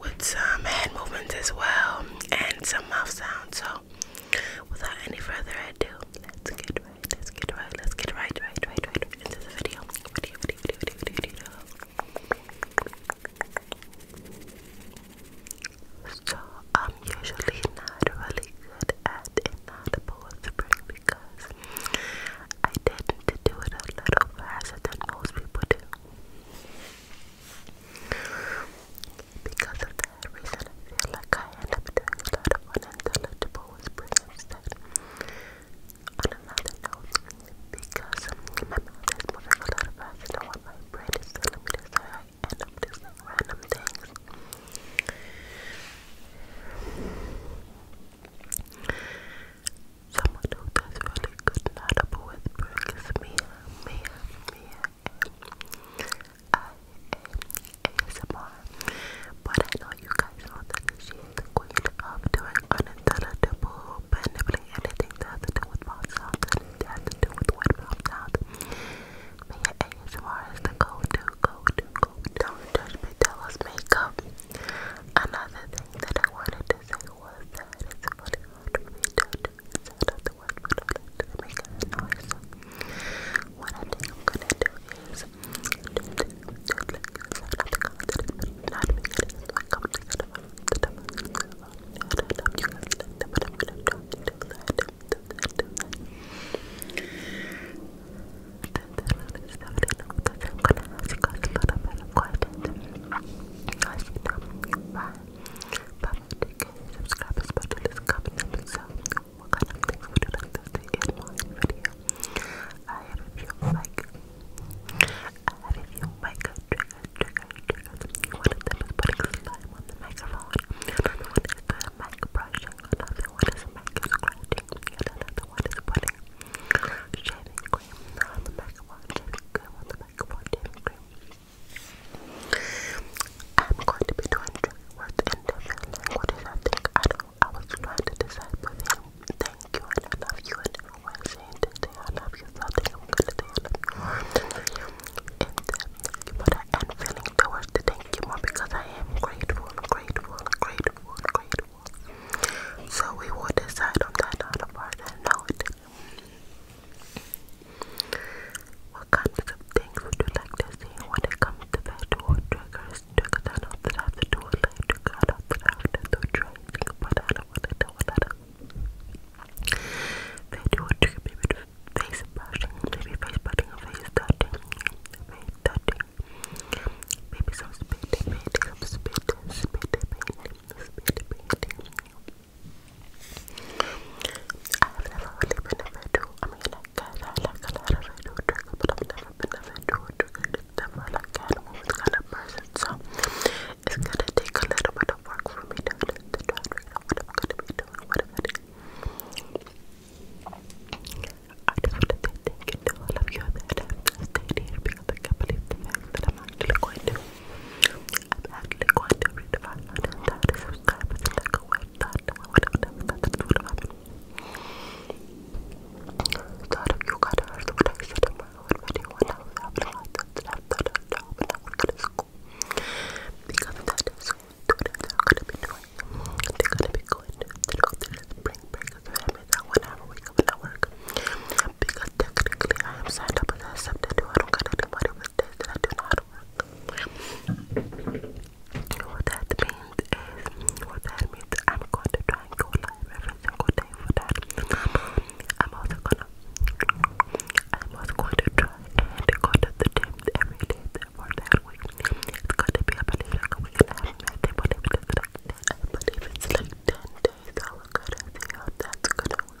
with some hand movements as well and some mouth sounds. So, without any further ado, let's get right, let's get right, let's get right, right, right, right, right into the video. Video, video, video, video, video. So, I'm usually not really good at inaudible whispering because I tend to do it a little faster than most people do. Because of that I feel like I end up doing a lot of unintelligible whispering instead. On another note, because my mouth is moving a lot faster than what my brain is telling me to say, I end up just random things. Someone who does really good not up whispering is Mia, Mia, I am ASMR, but I know you guys know that she is the queen of doing anything that has to do with mouth sounds, anything to do with wet mouth sounds. Mia ASMR is the go-to, go-to, go Don't judge me, tell us makeup. Another thing that I wanted to say was that it's really hard for me Shout out the one that makes a noise. What I am gonna do is just like shout out the comments not me, it is my comments I am you gonna try you guys of questions. Question but you I have a few like I have a few mic trigger trigger triggers. One of them is putting slime on the microphone. one is doing mic Another one is mic another one is putting shaving cream on the microphone, shaving cream on the microphone, I'm going to be trying to words in different languages. I think I do I was trying to decide between thank you and I love you and everyone saying to say I love you, so I think I'm gonna say I love you. And um, thank you more because I am grateful, grateful, grateful, grateful. So we will decide on that out of our now it what kinds of things would you like to see when it comes to that or triggers? Triggers I know that have to do it later. I know that have to do tracing, but I don't want to do it. Video trigger, maybe face brushing, maybe face brushing or touching, face touching. Maybe some spit, painting, some spit, spit, painting, spit, painting. I have never really been I mean, like, I like a lot of visual triggers, but I've never been a visual trigger. Never like that kind of person. So it's gonna take a little bit of work for me to, to, to try to figure out gonna be doing, what I'm I just want to say thank you to all of that I can't believe the that I'm actually going to I'm actually going to read 500 subscribers in like a week. That that's what happened. Sorry if you got heard what I said in my own video when I was having lots of that I when I would go to school. Because that is what they're gonna be doing. They're gonna be going to go to this spring break because I made that one hour wake up and I work. Because technically I am signed up as a substitute. I don't get any money with days that I do not work. What that means is, what that means, I'm going to try and go live every single day for that. I'm also gonna, I'm also going to try and go to the gym every day for that week. It's going to be about a like a week and a half, I think, but if it's like 10, I believe it's like 10 days, I'll look at it and see how that's gonna work.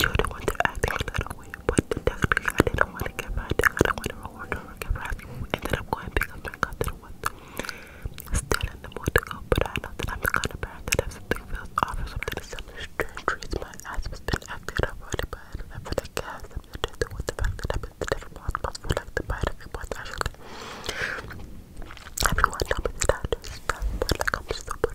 you're the one that acting a little weird, but that's because I didn't want to get mad. I didn't want to reward her or get mad. And then I'm going to pick up my cut that was still in the mood to go, but I know that I'm the kind of parent that if something feels off or something is something strange, treats my ass has been acting up already, but I don't ever like gas. I'm just dealing with the fact that I've been the different possible for like the bite of your butt, actually. Everyone told me that I do stuff, but like I'm stupid.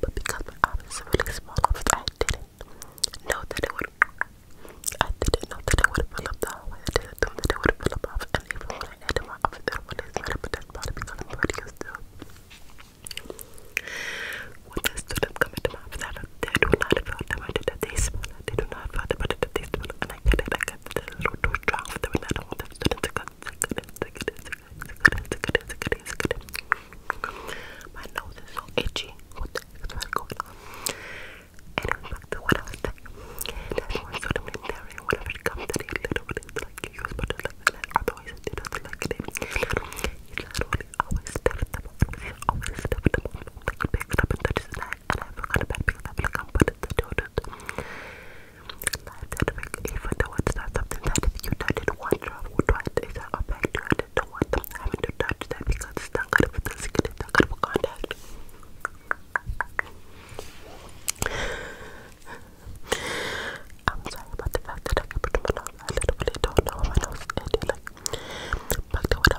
but because my arm is really small, I didn't know that it would. I didn't know that it would fill up the hallway. I didn't know that it would fill up off, and even when I added my outfit, that one is better, but that's probably because I'm pretty used to. When I stood up coming to my office, I looked, they do not feel them. I did a taste smell. They do not feel them. I did a taste smell, and I get it. I got it a little too strong for them, and I don't want them to get it. They get it. They get it. It's My nose is so itchy. What the is going on? Anyway, back to what I was That's one sort of military. Whenever comes to it, literally, it's like you use butter like that. Otherwise, it doesn't like it. He literally always steps the bottom. He always steps the bottom. Like, he picks it up and touches his neck. And I forgot about picking up like I'm putting the donuts life that way, even though it's not something that if you did it once or twice, it's not a bad to it. Don't want them having to touch that because it's not good for the skin, it's not good for contact. I'm sorry about the fact that I can put them on. I literally don't know if I know it's like back to what I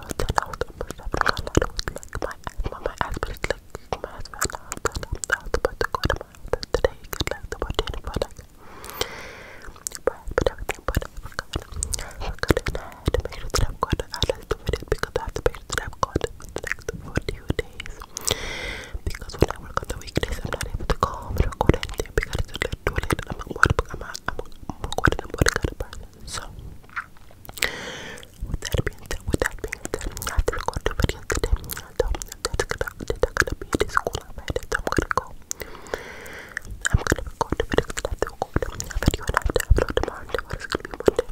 was saying, I was almost having a lot of like my asthma, my asthma is like my asthma now. I was about to go to mouth and today you could like the potato product. But I put everything but I forgot. I forgot and I had to make sure that i got I left the because I have to make sure that I've for the next 42 days. Because when I work on the weekdays I'm not able to go home and record because it's too late I'm a water I'm a, I'm a, I'm recording a water kind of person. So with that being said, with that being said, I have to record two videos today and I told him that that's gonna, that I'm gonna be at school I'm gonna go. I'm gonna record the video because I have to record a video and I have to gonna be Monday. Tuesday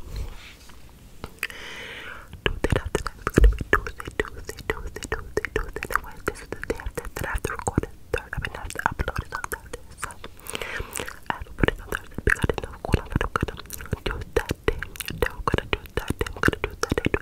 after gonna be Tuesday, Tuesday, Tuesday, Tuesday, to record it I mean I to upload it on Thursday, so to put it I am gonna do that day, then gonna do that day, we gonna do that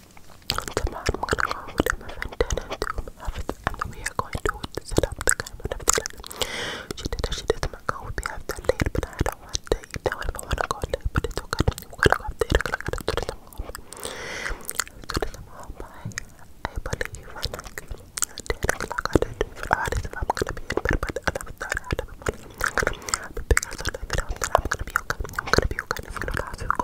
Tomorrow I'm gonna go with my friend Dana to have it, we are going to set up the camera and everything like She did she did my go with me after but I don't want to I don't want to go late, but it's okay. We're gonna go there, we're gonna go to the mall. To the mall, bye. I believe I like 10 o'clock. I did for hours if I'm gonna be in bed, but I never thought I'd have a morning. I'm gonna be happy because I live it out that I'm gonna be okay. I'm gonna be okay. I'm gonna be okay.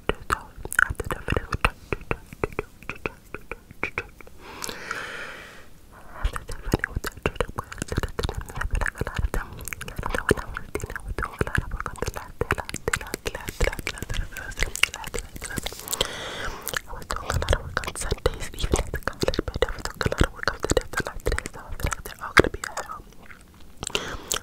I was doing a lot of work on Sundays, even at the college, but I was doing a lot of work on the day, so I feel like they're all gonna be at home.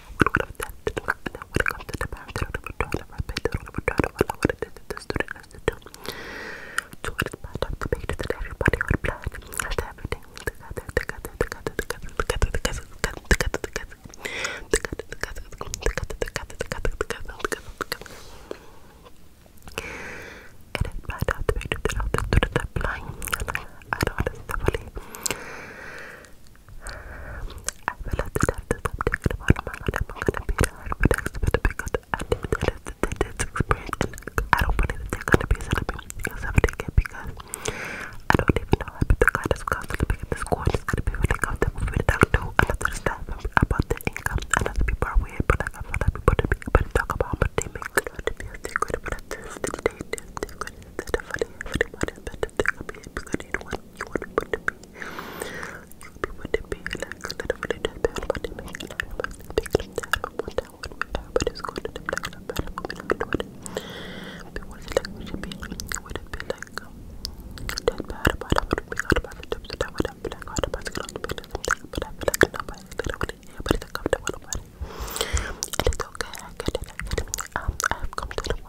So it is part of the page that everybody would plan. Hashtag everything together, together, together, together, together, together, together, together, together, together, together, together, together, together, together, together. It is part of the page that all the students are blind. I don't understand fully. I feel like the doctors I'm thinking am gonna be the hard for next bit because I think that it's, that it's experience I don't believe that they're because I don't even know how the kind of counseling in the gonna be really the doctor who the income and other people are weird, but like I feel like people to be able to talk about how much but at the end of the day, everything will be because you want you want people to be you want people to be like a little bit of bad body make a lot of us think like that I want that one with everybody's going to them like a bad woman I'm doing it but what is it like we should be would it be like that bad about it would it be hard about the tips that I would have been like hard about the girl to be like something but I feel like nobody literally everybody's uncomfortable about it and it's okay I get it I get it um I've come to the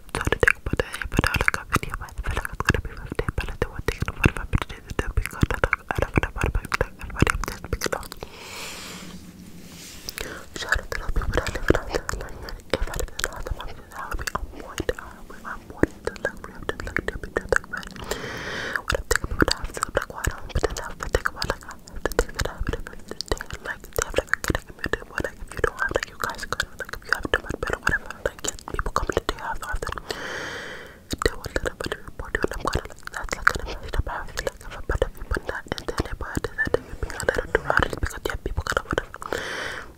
So to take about the I look up video but I feel like it's going I do want to take a I don't I about my I'm just picking up. Shout out to those people that live in our town. I live in our town, I would be on point. I would be on point. The luxury of just like to be just like red. What I'm thinking about, I don't but then I have to think about I have to think that I have to like they it, if you don't have like you guys could if you have too much bed whatever, like yes, people come in the after often. They will little bit report you and I'm gonna that's like an investor privacy like if a better people not in the neighborhood is that you're being a little too rowdy because yeah people gonna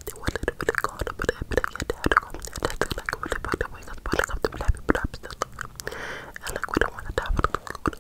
they will little bit call up but they had to come there that's like really fucked up because when it comes to black people I'm and like we don't wanna die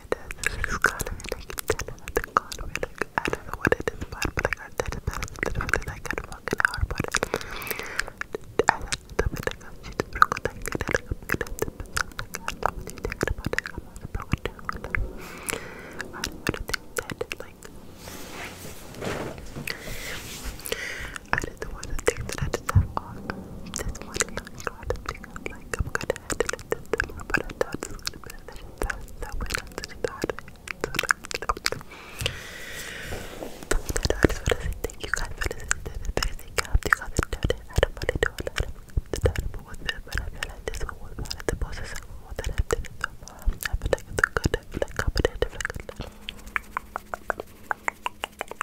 bit of this color and I keep getting another color and like, I don't know what it is but I got that and that and that and I got a fucking hour about it. I got the bit I got she's broken like it and I'm gonna have to put something I love what you're thinking about I'm also broken I don't want to think that like I didn't want to think that I just have all this one line, a lot of things like I'm gonna add a little more, but I thought it's gonna be a do that. But I just wanna say thank you guys for listening to this video. Thank you guys for I don't want to do a lot of the time with this, but I feel like this one was one of the most successful ones that I've done so far. I feel like it's